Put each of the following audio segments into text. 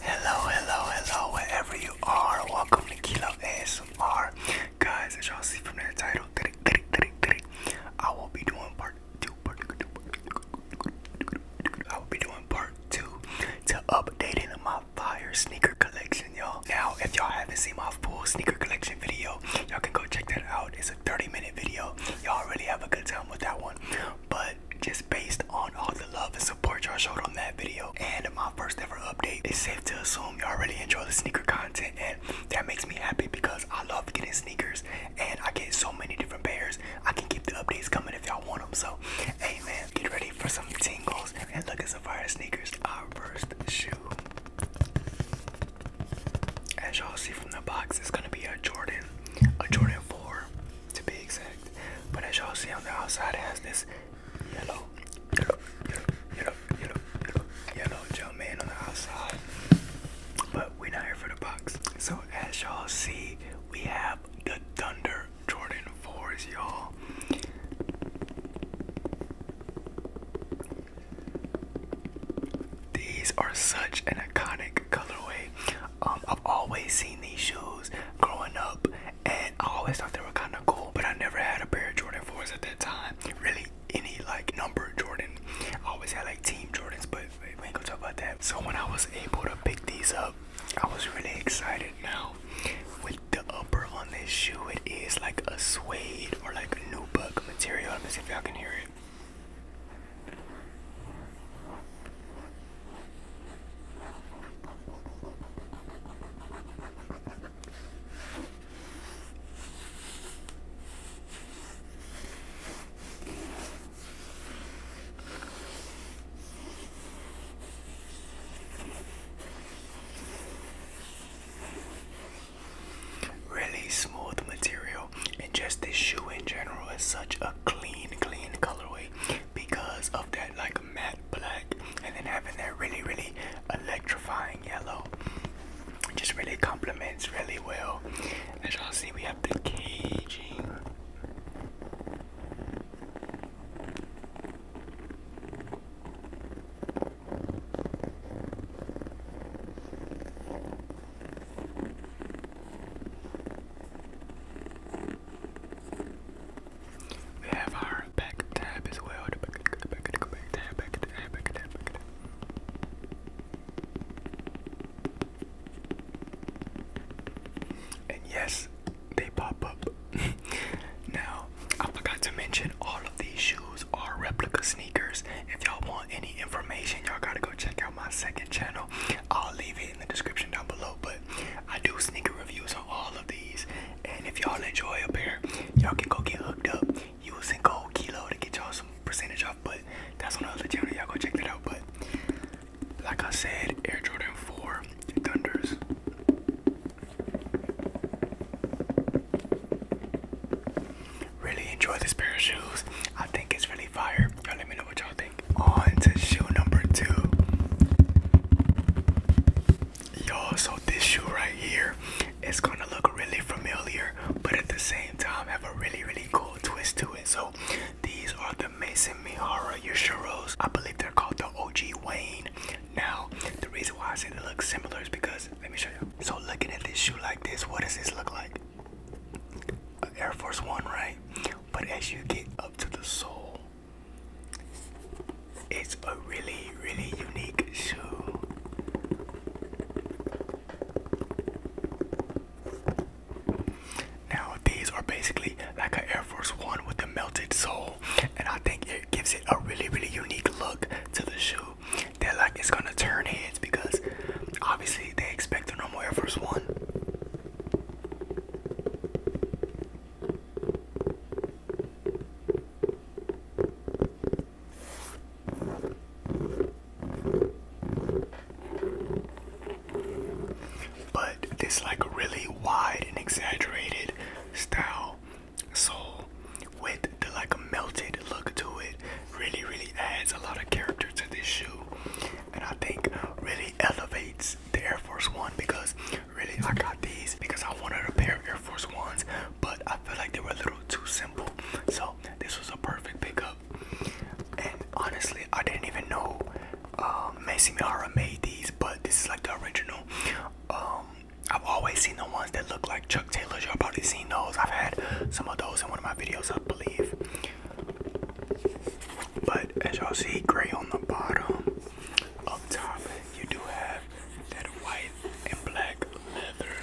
Hello, hello, hello, wherever you are, welcome to Kilo ASMR. Guys, as y'all see from that title, I will be doing part two, part two. I will be doing part two to updating my fire sneaker collection, y'all. Now, if y'all haven't seen my full sneaker collection video, y'all can go check that out. It's a 30 minute video. Y'all really have a good time with that one. But just based on all the love and support y'all showed on that video and my first ever update, it's safe to assume y'all really enjoy the sneaker content and that makes me happy because I love getting sneakers and I get so many different pairs. I can keep the updates coming if y'all want them. So, hey man, get ready for some tingles and look at some fire sneakers. Our first shoe. As y'all see from the box, it's gonna be a Jordan, a Jordan 4 to be exact. But as y'all see on the outside, it has this yellow, yellow, yellow, yellow, yellow, yellow, yellow gel man on the outside. But we not here for the box. So as y'all see, we have the Thunder Jordan 4s, y'all. These are such an iconic colorway. Um, I've always seen these shoes growing up, and I always thought they were kind of cool, but I never had a pair of Jordan 4s at that time. Really, any like number Jordan. I always had like Team Jordans, but we ain't gonna talk about that. So when I was able to pick these up, I was really excited now. With the upper on this shoe, it is like a suede or like a new buck material. Let me see if y'all can hear it. Really smooth material, and just this shoe in general is such a clean, clean colorway because of that like matte black and then having that really really electrifying yellow it just really complements really well as y'all see we have the caging we have our back tab as well. And yes, they pop up. now, I forgot to mention all of these shoes are replica sneakers. If y'all want any information, y'all gotta go check out my second channel. I'll leave it in the description down below. But I do sneaker reviews on all of these, and if y'all enjoy a pair, y'all can go get hooked up using code Kilo to get y'all some percentage off. But that's on another channel. Y'all go check that out. But like I said, Air Jordan 4 Thunders. Really enjoy this pair of shoes. I think it's really fire. Y'all let me know what y'all think. On to shoe number two. Y'all, so this shoe right here, it's is gonna look really familiar, but at the same time have a really, really cool twist to it. So these are the Mason Mihara Yoshiros. I believe they're called the OG Wayne. Now, the reason why I say they look similar is because, let me show you. So looking at this shoe like this, what does this look like? Air Force One, right? But as you get up to the sole, it's a really, really unique shoe. Now, these are basically like an Air Force One with a melted sole, and I think it gives it a really, really unique look to the shoe. They're like it's gonna turn heads because obviously they expect a normal Air Force One. But this like really wide and exaggerated style, so with the like a melted look to it, really really adds a lot of character to this shoe, and I think really elevates the Air Force One because really I got these because I wanted a pair of Air Force Ones, but I feel like they were a little too simple. So this was a perfect pickup. And honestly, I didn't even know uh, Messi Mihara made these, but this is like the original. Um, I've always seen the ones that look like Chuck Taylor's. Y'all probably seen those. I've had some of those in one of my videos, I believe. But as y'all see, gray on the bottom. Up top, you do have that white and black leather.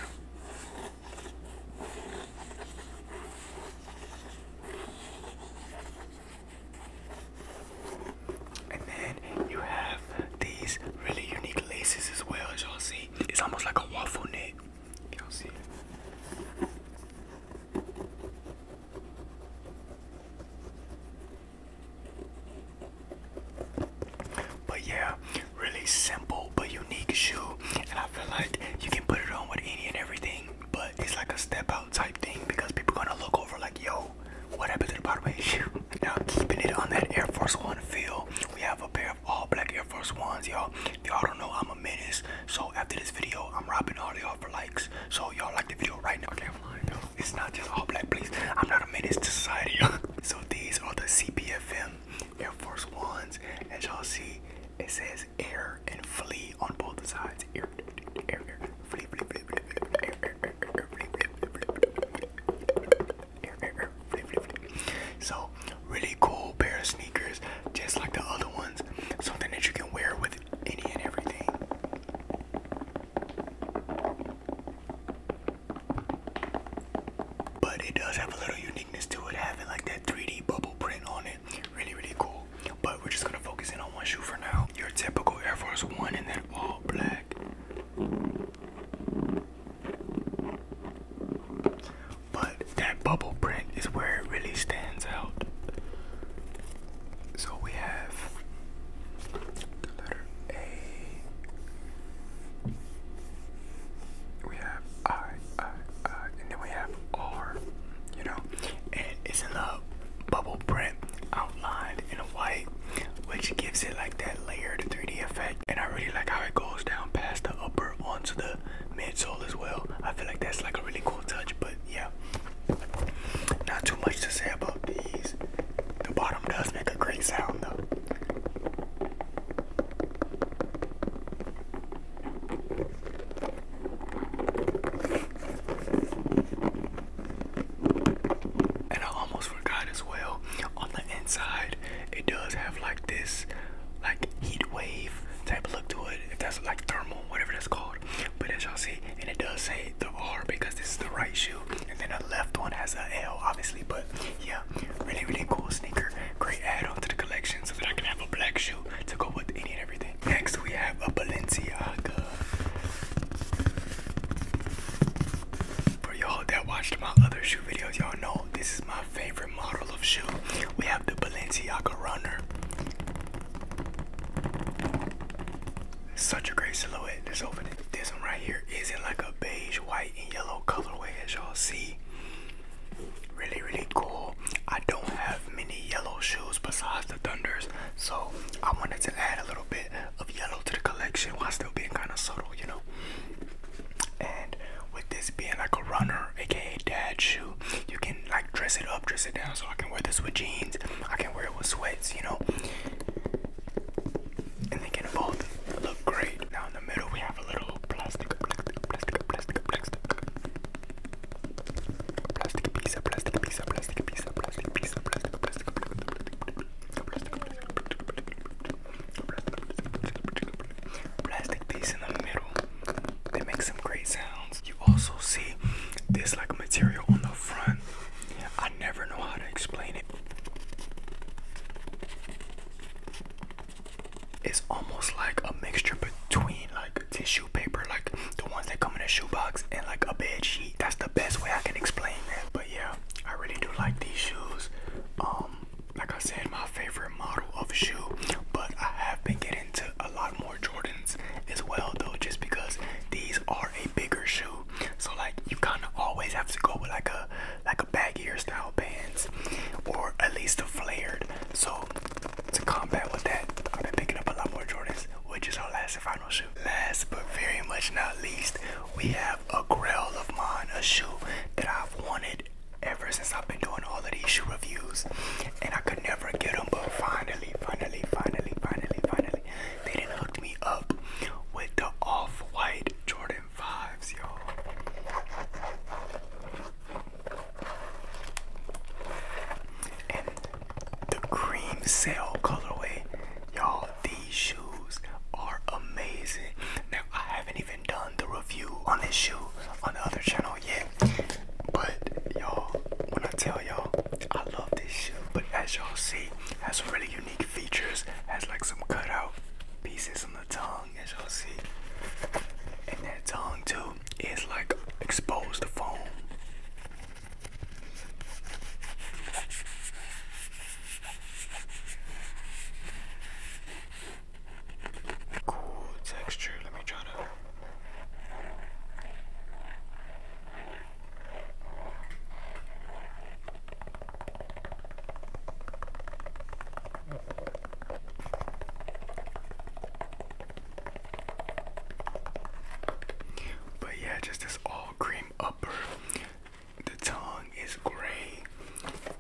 And then you have these really unique laces as well, as y'all see. It's almost like a waffle neck. Y'all see but yeah, really simple but unique shoe, and I feel like you can put it on with any and everything. But it's like a step out type thing because people gonna look over like, yo, what happened to the bottom of my shoe? Now keeping it on that Air Force One feel, we have a pair of all black Air Force Ones, y'all y'all don't know I'm a menace. So after this video, I'm robbing all y'all for likes. So y'all like the video right now. It's not just all black, please. I'm not a menace to society. so these are the CPFM Air Force Ones. As y'all see, it says air and flee on both sides. Air, air, flee, flee, flee, flee, air, air, flee, flee, flee, flee, flee, flee, flee, flee, flee, flee, really cool pair of sneakers, just like the other ones. Something that you can wear with any and everything. But it does have a little uniqueness to it, having like that 3D bubble print on it. Really, really cool. But we're just gonna focus in on one shoe for now. Your typical Air Force One in that all black but that bubble print is where it really stands out. So we have the letter A. We have I, I, I, and then we have R, you know, and it's in a bubble print outlined in white, which gives it like that layered 3D effect. And I really like how it goes down past the upper onto the midsole as well. I feel like that's like a really cool touch, but yeah. Not too much to say about these. The bottom does make a great sound though. And I almost forgot as well, on the inside, it does have like this like heat wave type look to it if that's like thermal, whatever that's called. But as y'all see, and it does say the R because this is the right shoe, and then the left one has a L, obviously. But yeah, really, really cool sneaker. Great add-on to the collection so that I can have a black shoe to go with any and everything. Next, we have a Balenciaga. For y'all that watched my other shoe videos, y'all know this is my favorite model of shoe. We have the Balenciaga Runner. Such a great silhouette. Let's This one right here is in like a beige, white, and yellow colorway, as y'all see. Really, really cool. I don't have many yellow shoes besides the Thunders, so I wanted to add a little bit of yellow to the collection while still being kind of subtle, you know. And with this being like a runner, aka dad shoe, you can like dress it up, dress it down. So I can wear this with jeans, I can wear it with sweats, you know. And they can both look great. Now in the middle we have a little plastic, plastic, plastic, plastic, plastic, plastic piece, of plastic piece, of plastic piece, of plastic piece, of plastic, plastic, plastic, plastic piece in the middle. They make some great sounds. You also see this like material on the front. I never know how to explain it. It's almost like a mixture between like tissue paper, like the ones that come in a shoebox, and like a bed sheet. That's the best way I can explain that. But yeah, I really do like these shoes. Um, like I said, my favorite model of shoe, but I have been getting to a lot more Jordans as well, though, just because these are a bigger shoe. So like you kind of always have to go with like a like a baggier style pants, or at least a flared. So to combat with that, I've been picking up a lot more Jordans, which is our last and final shoe. Last but very much not least, we have a Grail of mine, a shoe that I've wanted ever since I've been doing all of these shoe reviews, and I could never get them, but finally, finally, finally, finally, finally, they didn't hook me up with the off-white Jordan 5s, y'all. And the cream cell colorway, y'all, these shoes are amazing. Now I haven't even done the review on this shoe on the other channel yet. But y'all, when I tell y'all, I love this shoe. But as y'all see, has some really unique features. Has like some cutout pieces on the tongue, as y'all see. And that tongue too is like exposed foam cool texture. Let me try to. But yeah, just this all cream upper. The tongue is gray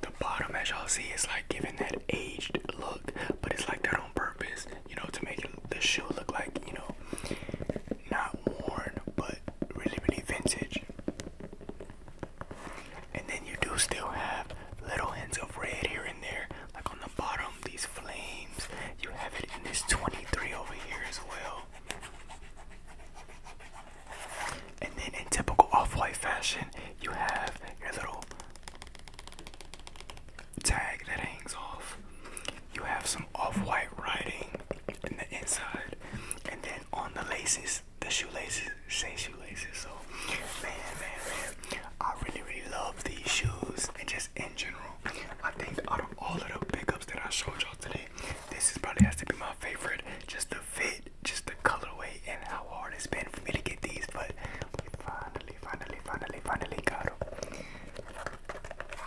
the bottom as y'all see is like giving that aged look, but it's like that on purpose, you know, to make the shoe look like, you know, not worn, but really, really vintage. And then you do still have little hints of red here and there, like on the bottom, these flames. You have it in this 23 over here as well. And then in typical off-white fashion, you have your little tag that hangs off. You have some off-white writing in the inside. And then on the laces, the shoelaces say shoelaces. So man, man, man. I really really love these shoes and just in general. I think out of all of the pickups that I showed y'all today, this is probably has to be my favorite. Just the fit just the colorway and how hard it's been for me to get these, but we finally, finally, finally, finally got them.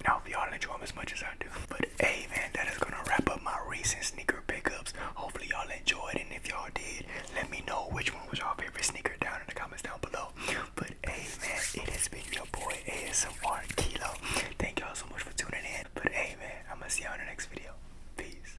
Now if y'all enjoy them as much as I do. But hey man, that is gonna wrap up my recent sneaker pickups. Hopefully y'all enjoyed and if y'all did, let me know which one was your favorite sneaker down in the comments down below. But hey man, it has been your boy ASMR Kilo. Thank y'all so much for tuning in. But hey man, I'm gonna see y'all in the next video. Peace.